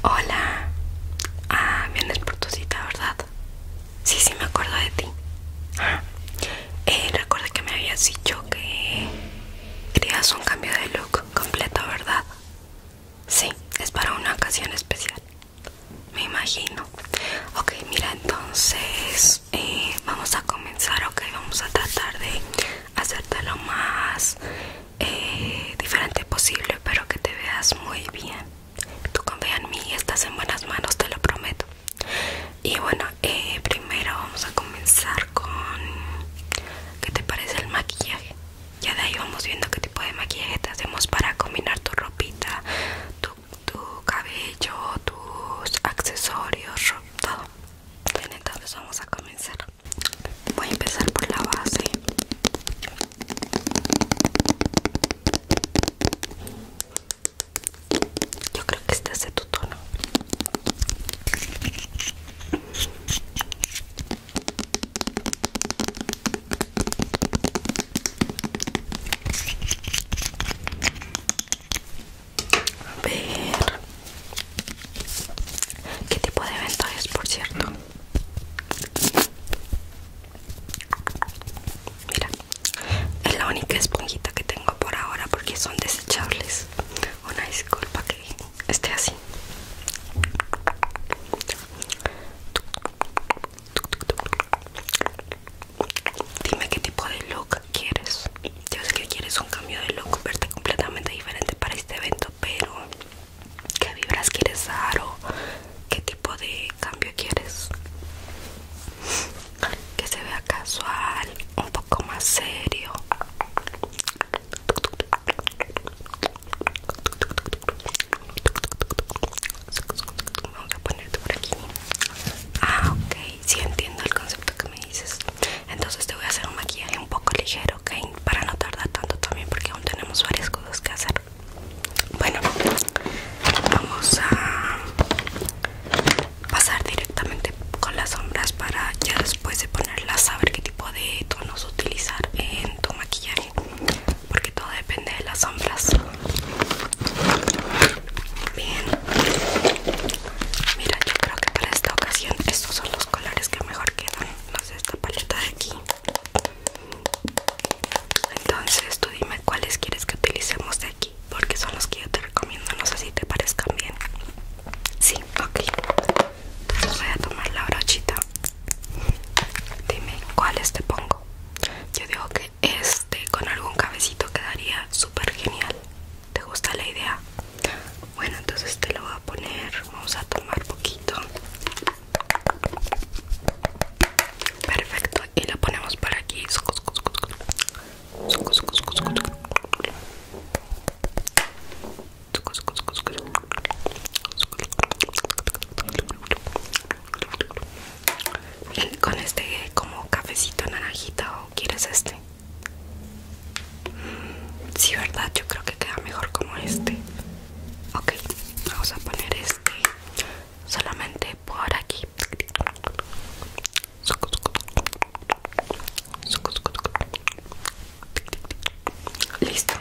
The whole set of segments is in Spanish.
Hola. Ah, vienes por tu cita, ¿verdad? Sí, sí, me acuerdo de ti. Eh, Recuerdo que me habías dicho que querías un cambio de look completo, ¿verdad? Sí, es para una ocasión especial. Me imagino. Ok, mira, entonces eh, vamos a comenzar, ok, vamos a tratar de lo más eh, diferente posible pero que te veas muy bien tú confía en mí estás en buenas manos te lo prometo y bueno eh, primero vamos a comenzar con qué te parece el maquillaje ya de ahí vamos viendo qué tipo de maquillaje te hacemos para combinar tu ropita tu, cabello tus accesorios todo entonces vamos a comenzar voy a empezar por la base yo creo que este hace tu tono a ver ¿Qué tipo de evento es, por cierto? Mira, es la única esponjita que tengo por ahora porque son desechables. Una disculpa que esté así. Dime qué tipo de look quieres. Yo sé que quieres un cambio de look, verte completamente diferente para este evento pero ¿qué vibras quieres dar o qué tipo de cambio quieres? Que se vea casual, un poco más serio. Vamos a ponerte por aquí. Ah, ok, sí entiendo el concepto que me dices entonces te voy a hacer un maquillaje un poco ligero ok para no tardar tanto también porque aún tenemos varias cosas que hacer bueno vamos a pasar directamente con las sombras para ya después de ponerlas saber qué tipo de tonos utilizar en tu maquillaje porque todo depende de las sombras bien Mira, yo creo que para esta ocasión estos son los colores que mejor quedan. No sé, esta paleta de aquí. Entonces tú dime cuáles quieres que utilicemos de aquí, porque son los que yo te recomiendo. No sé si te parezcan bien. Sí, ok. voy a tomar la brochita. Dime cuáles te pongo. Yo digo que este con algún cabecito quedaría súper genial. ¿Te gusta la idea? Bueno, entonces te lo voy a poner. Vamos a tomar poquito. Perfecto. Y lo ponemos por aquí. con este como cafecito naranjito, o quieres este si verdad, yo creo que queda mejor como este. Ok, vamos a poner este solamente por aquí. Listo.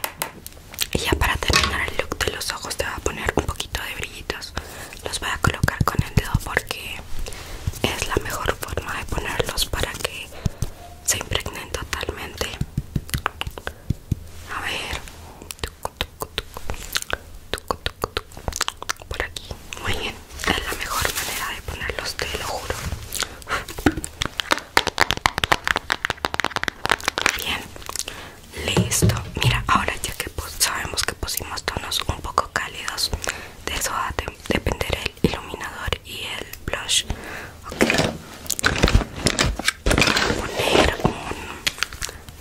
Y ya para terminar el look de los ojos te voy a poner un poquito de brillitos. Los voy a colocar con el dedo porque es la mejor forma de ponerlos para que se impregnen totalmente. A ver, por aquí, muy bien. Es la mejor manera de ponerlos, te lo juro. Bien, listo. Mira, ahora ya que sabemos que pusimos tonos un poco cálidos de soda depender el iluminador y el blush okay. voy a poner un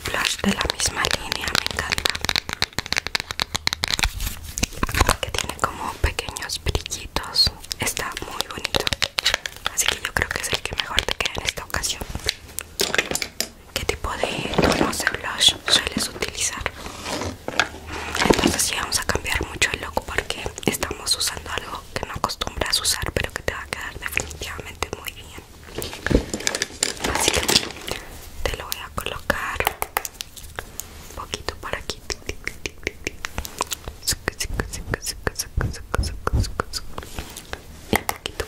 blush de la misma línea me encanta que tiene como pequeños brillitos está muy bonito así que yo creo que es el que mejor te queda en esta ocasión ¿Qué tipo de tonos de blush sueles utilizar? entonces sí vamos a cambiar mucho el look porque estamos usando algo que no acostumbras usar pero que te va a quedar definitivamente muy bien así que te lo voy a colocar un poquito por aquí un poquito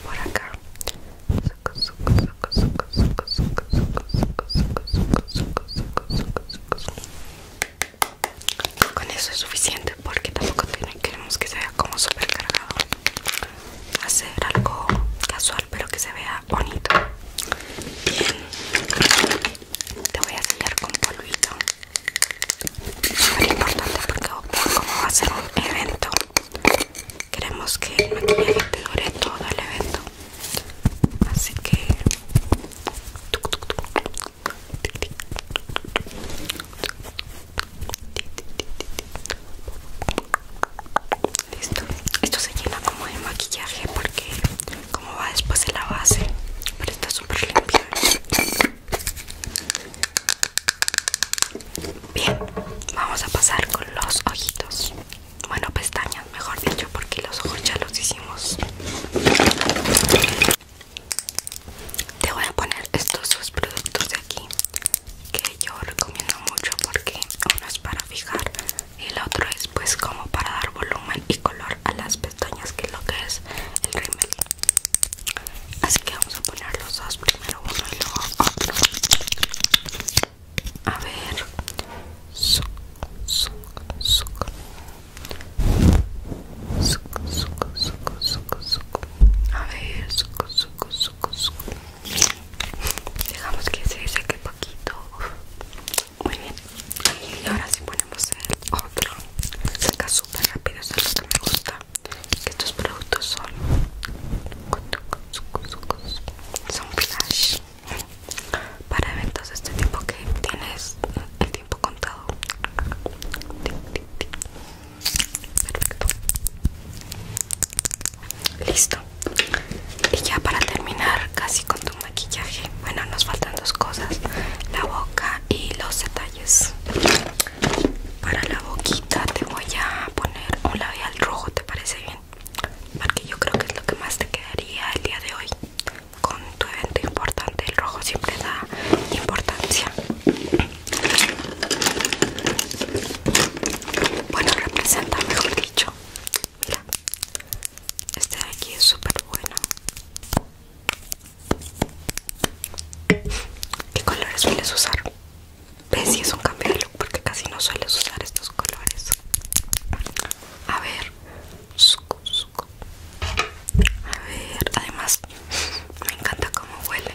por acá con eso es suficiente porque tampoco queremos que se vea como super cargado. Hacer algo casual pero que se vea bonito. Bien, te voy a sellar con polvito. Súper importante porque como va a ser un evento, queremos que el maquillaje te dure todo el evento. Así que listo. Esto se llena como de maquillaje porque como va después de la base, pero está súper limpio. Bien, vamos a pasar con los ojitos bueno pestañas mejor dicho porque los ojos ya los hicimos te voy a poner estos dos productos de aquí que yo recomiendo mucho porque uno es para fijar y el otro es pues como para dar volumen y color a las pestañas que es lo que es el rímel así que vamos a poner los dos primero uno y luego otro a ver. suco, suco, suco, suco, suco, suco, suco, suco, A ver, suc, suc, suc, suc. Dejamos que se seque poquito. Muy bien. Y ahora sí ponemos el otro. saca súper rápido, eso es lo que me gusta. Que estos productos son. Son flash para eventos de este tipo que tienes el tiempo contado listo y ya para terminar casi con tu maquillaje bueno nos faltan dos cosas la boca y los detalles para la boquita te voy a poner un labial rojo te parece bien porque yo creo que es lo que más te quedaría el día de hoy con tu evento importante. El rojo siempre da importancia. Bueno, representa, mejor dicho. Mira, este de aquí es súper bueno. ¿Qué colores sueles usar? Ves si es un cambio de look porque casi no sueles usar estos colores. A ver. A ver, además me encanta cómo huele.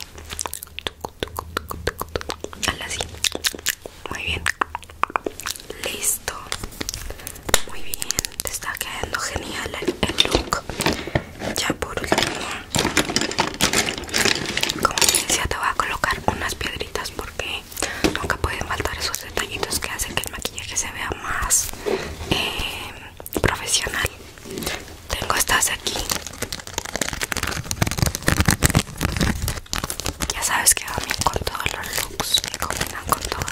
así. Muy bien. Listo. Muy bien. Te está quedando genial el, look. Ya por último, como decía, te voy a colocar unas piedritas porque nunca pueden faltar esos detallitos que hacen que el maquillaje se vea más eh, profesional. Tengo estas aquí. Ya sabes que van con todos los looks Me combinan con todo.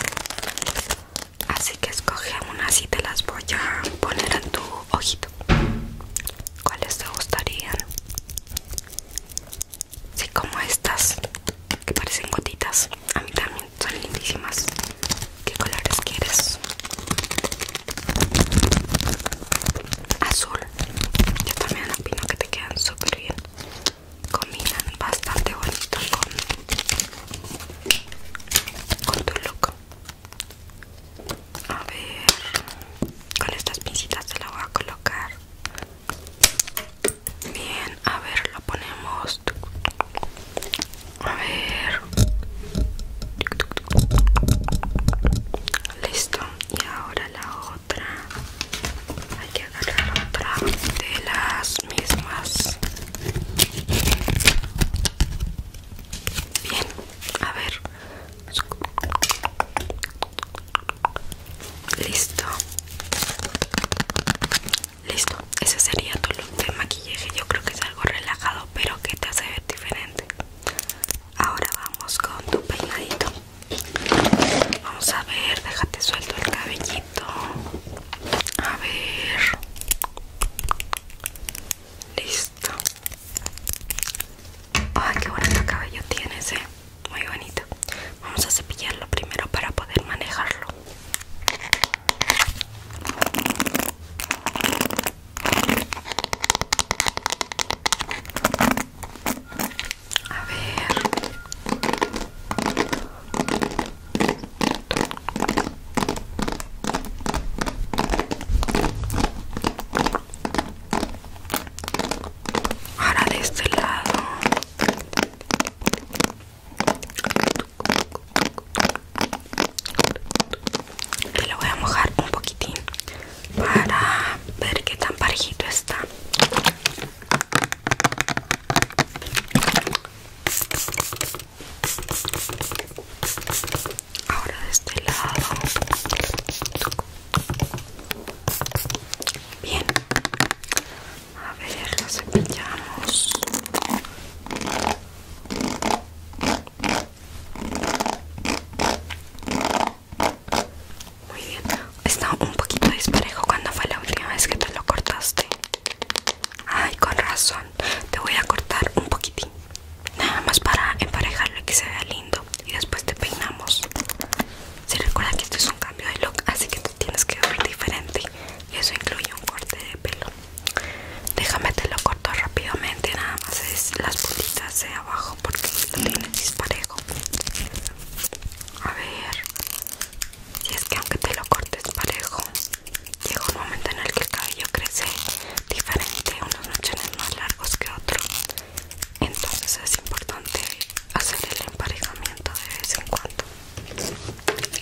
Así que escoge unas y te las voy a poner en tu ojito. ¿Cuáles te gustarían? Sí, como estas que parecen gotitas. A mí también son lindísimas. ¿Qué colores quieres? Azul. Yo también opino que te quedan súper bien. Combinan bastante bonito con, con tu look. A ver, con estas pincitas se la voy a colocar. Bien, a ver, lo ponemos. A ver. Listo. Y ahora la otra. Hay que agarrar otra de las mismas. Bien, a ver. Listo. Listo. Ese sería tu look de maquillaje. Yo creo que es algo relajado, pero que te hace ver diferente. Ahora vamos con tu peinadito. Vamos a ver, déjate suelto el cabellito. A ver. Listo. Ay, qué bonito cabello tienes, eh. Muy bonito. Vamos a cepillarlo primero para poder manejarlo. A ver ahora de este lado te lo voy a mojar un poquitín para ver qué tan parejito está ahora de este lado bien a ver lo cepillamos muy bien está un poquito disparejo cuando fue la última vez que te lo cortaste ay con razón te voy a cortar un poquitín Nada más para emparejarlo y que se vea lindo Y después te peinamos Si recuerda que esto es un cambio de look Así que te tienes que ver diferente Y eso incluye un corte de pelo Déjame te lo corto rápidamente Nada más es las puntitas de abajo Porque lo tienes disparejo A ver Si es que aunque te lo cortes parejo Llega un momento en el que el cabello crece diferente, unos mechones más largos que otro entonces es importante hacer el emparejamiento de vez en cuando un poquito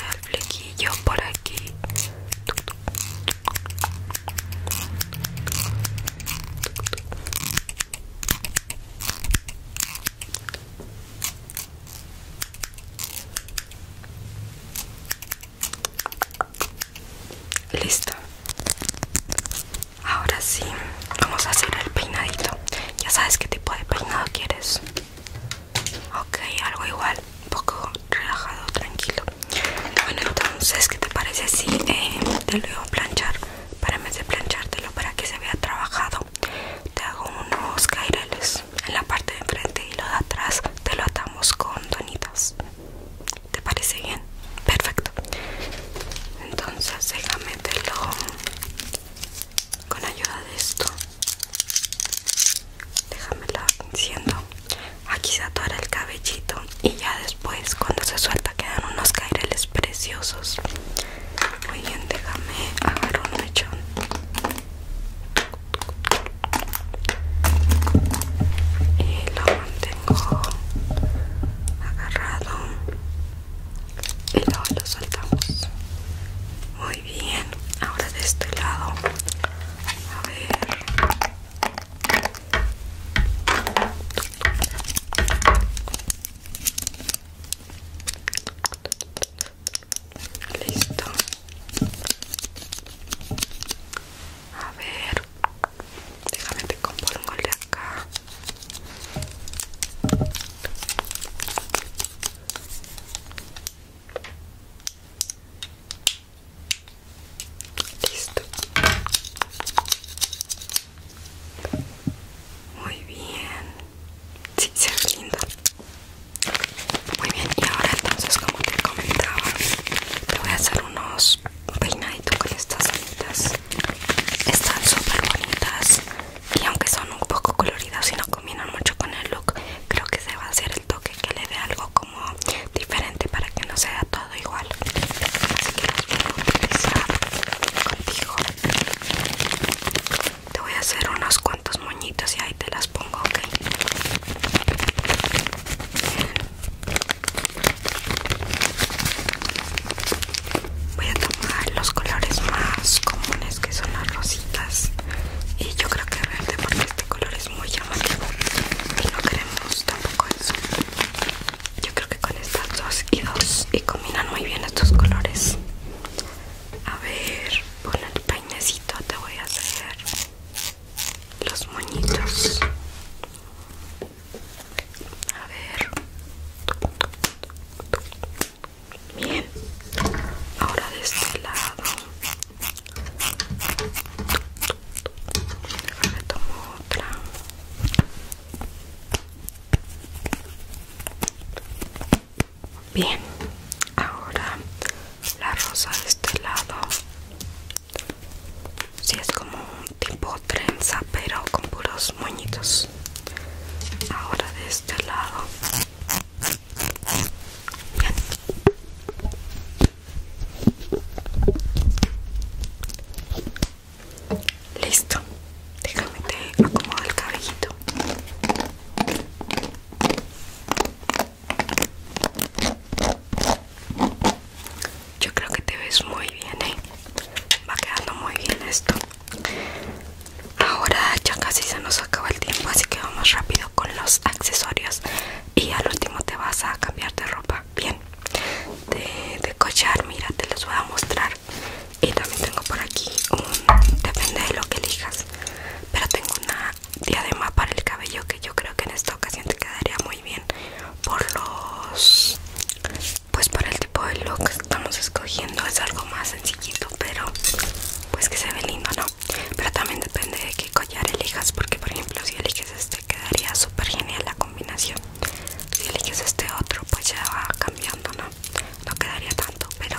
de flequillo por aquí Listo. Ahora sí, vamos a hacer el peinadito. Ya sabes qué tipo de peinado quieres. Ok, algo igual, un poco relajado, tranquilo. Bueno, entonces, ¿qué te parece si eh, te lo voy a planchar? para vez de planchártelo para que se vea trabajado te hago unos caireles en la parte de enfrente y lo de atrás te lo atamos con donitas ¿te parece bien? perfecto entonces déjame con ayuda de esto déjame lo aquí se atora el cabellito y ya después cuando se suelta quedan unos caireles preciosos muy bien déjame agarrar un mechón y lo mantengo agarrado y luego lo soltamos muy bien ahora de este lado a ver Listo. A ver, déjame te compongo acá. Listo. Muy bien. si, se ve lindo. Muy bien, y ahora entonces como te comentaba, voy a hacer unos peinaditos con estas anitas Están súper bonitas y aunque son un poco coloridas y no combinan mucho con el look, creo que se va a hacer el toque que le dé algo como diferente para que no sea todo igual así que las voy a utilizar contigo te voy a hacer unos cuantos moñitos y ahí te las pongo ok voy a tomar los colores más comunes que son las rositas y yo creo que verde porque este color es muy llamativo y no queremos tampoco eso yo creo que con estas dos y dos y combinan muy bien estos colores. A ver, con el peinecito, te voy a hacer los moñitos. A ver. Bien. Ahora de este lado tomo Bien, ahora la rosa de este lado. Si es como un tipo trenza, pero con puros moñitos. Ahora de este lado. Bien. Listo, déjame te acomodo el cabellito. Yo creo que te ves muy bien, ¿eh? Va quedando muy bien esto. Ahora ya casi se nos acaba el tiempo, así que vamos rápido con los accesorios. Y al último te vas a cambiar de ropa bien de, de collar mira te los voy a mostrar y también tengo por aquí un depende de lo que elijas pero tengo una diadema para el cabello que yo creo que en esta ocasión te quedaría muy bien por los pues para el tipo de look que estamos escogiendo es algo más sencillito pero pues que se ve lindo no pero también depende de qué collar elijas porque por ejemplo si eliges este quedaría súper genial la combinación si eliges este otro pues ya va cambiando no quedaría tanto pero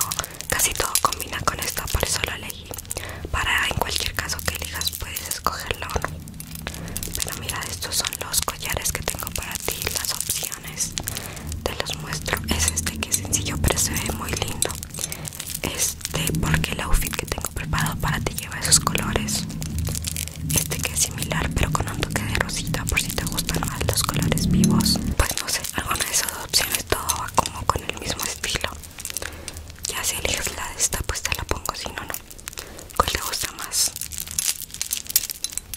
casi todo combina con esto por eso lo elegí para en cualquier caso que elijas puedes escogerlo o no pero mira estos son los collares que tengo para ti las opciones te los muestro es este que es sencillo pero se ve muy lindo este porque el outfit que tengo preparado para ti lleva esos colores este que es similar pero con un toque de rosita por si te gustan más los colores vivos pues no sé alguna de esas opciones todo va como con el mismo estilo ya si eliges la de esta pues te la pongo si no no cuál te gusta más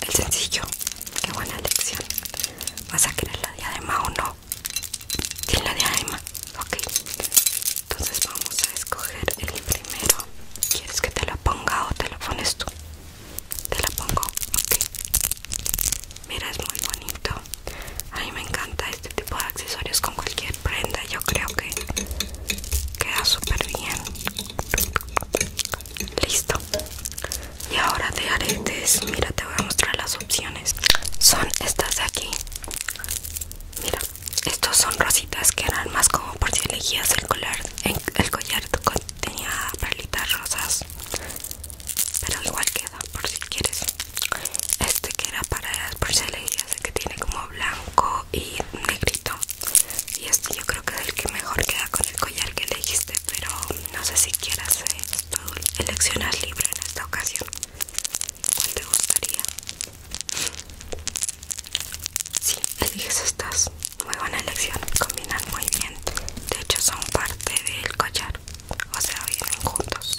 el sencillo qué buena elección vas a querer la diadema o no Tiene la de diadema ok entonces vamos a escoger el primero quieres que te lo ponga o te lo pones tú te lo pongo ok mira es muy bonito a mí me encanta este tipo de accesorios con cualquier prenda yo creo que queda súper bien listo y ahora de aretes mira te voy a mostrar las opciones son estas de aquí mira estos son rositas que eran más como por si elegías el collar El collar tenía perlitas rosas Pero igual queda por si quieres Este que era para por si elegías el que tiene como blanco y negrito Y este yo creo que es el que mejor queda con el collar que elegiste Pero no sé si quieras eh, seleccionar eleccionar libre en esta ocasión ¿Cuál te gustaría? Sí, eliges estas. Muy buena elección. Combinan muy bien. De hecho, son parte del collar. O sea, vienen juntos.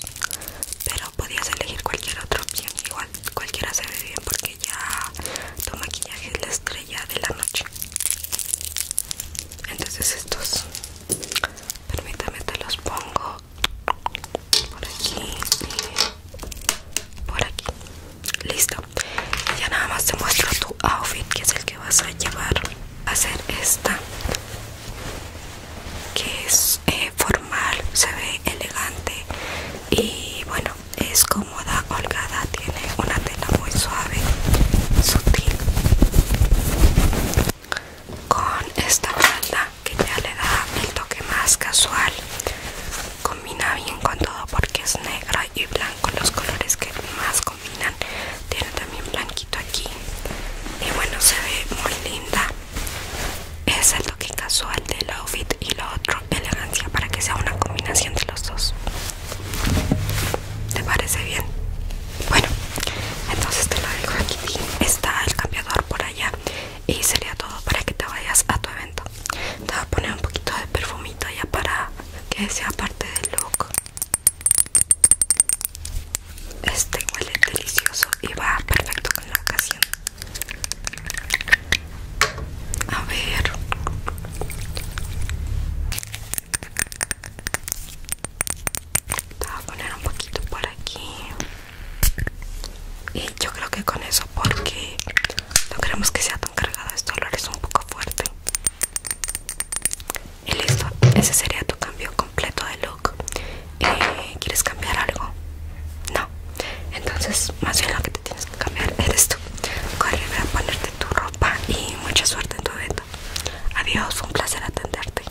Pero podías elegir cualquier otra opción. Igual, cualquiera se ve bien porque ya tu maquillaje es la estrella de la noche. Entonces, estos. Permítame, te los pongo por aquí por aquí listo ya nada más te muestro tu outfit que es el que vas a llevar a hacer esta que es eh, formal se ve elegante y bueno es cómoda holgada tiene una tela muy suave sutil con esta falda que ya le da el toque más casual combina bien con todo porque es negro y blanco los colores que más combinan tiene también blanquito aquí y bueno se ve muy linda es el toque casual del outfit y lo otro elegancia para que sea una combinación de los dos te parece bien bueno entonces te lo dejo aquí está el cambiador por allá y sería todo para que te vayas a tu evento te voy a poner un poquito de perfumito ya para que sea parte del look este huele delicioso y va perfecto con la ocasión a ver te voy a poner un poquito por aquí y yo creo que con eso porque no queremos que sea tan cargado esto olor es un poco fuerte. Y listo, ese sería tu cambio completo de look. Eh, ¿Quieres cambiar algo? No. Entonces, más bien lo que te tienes que cambiar eres tú. Corre, voy a ponerte tu ropa y mucha suerte en tu evento. Adiós, un placer atenderte.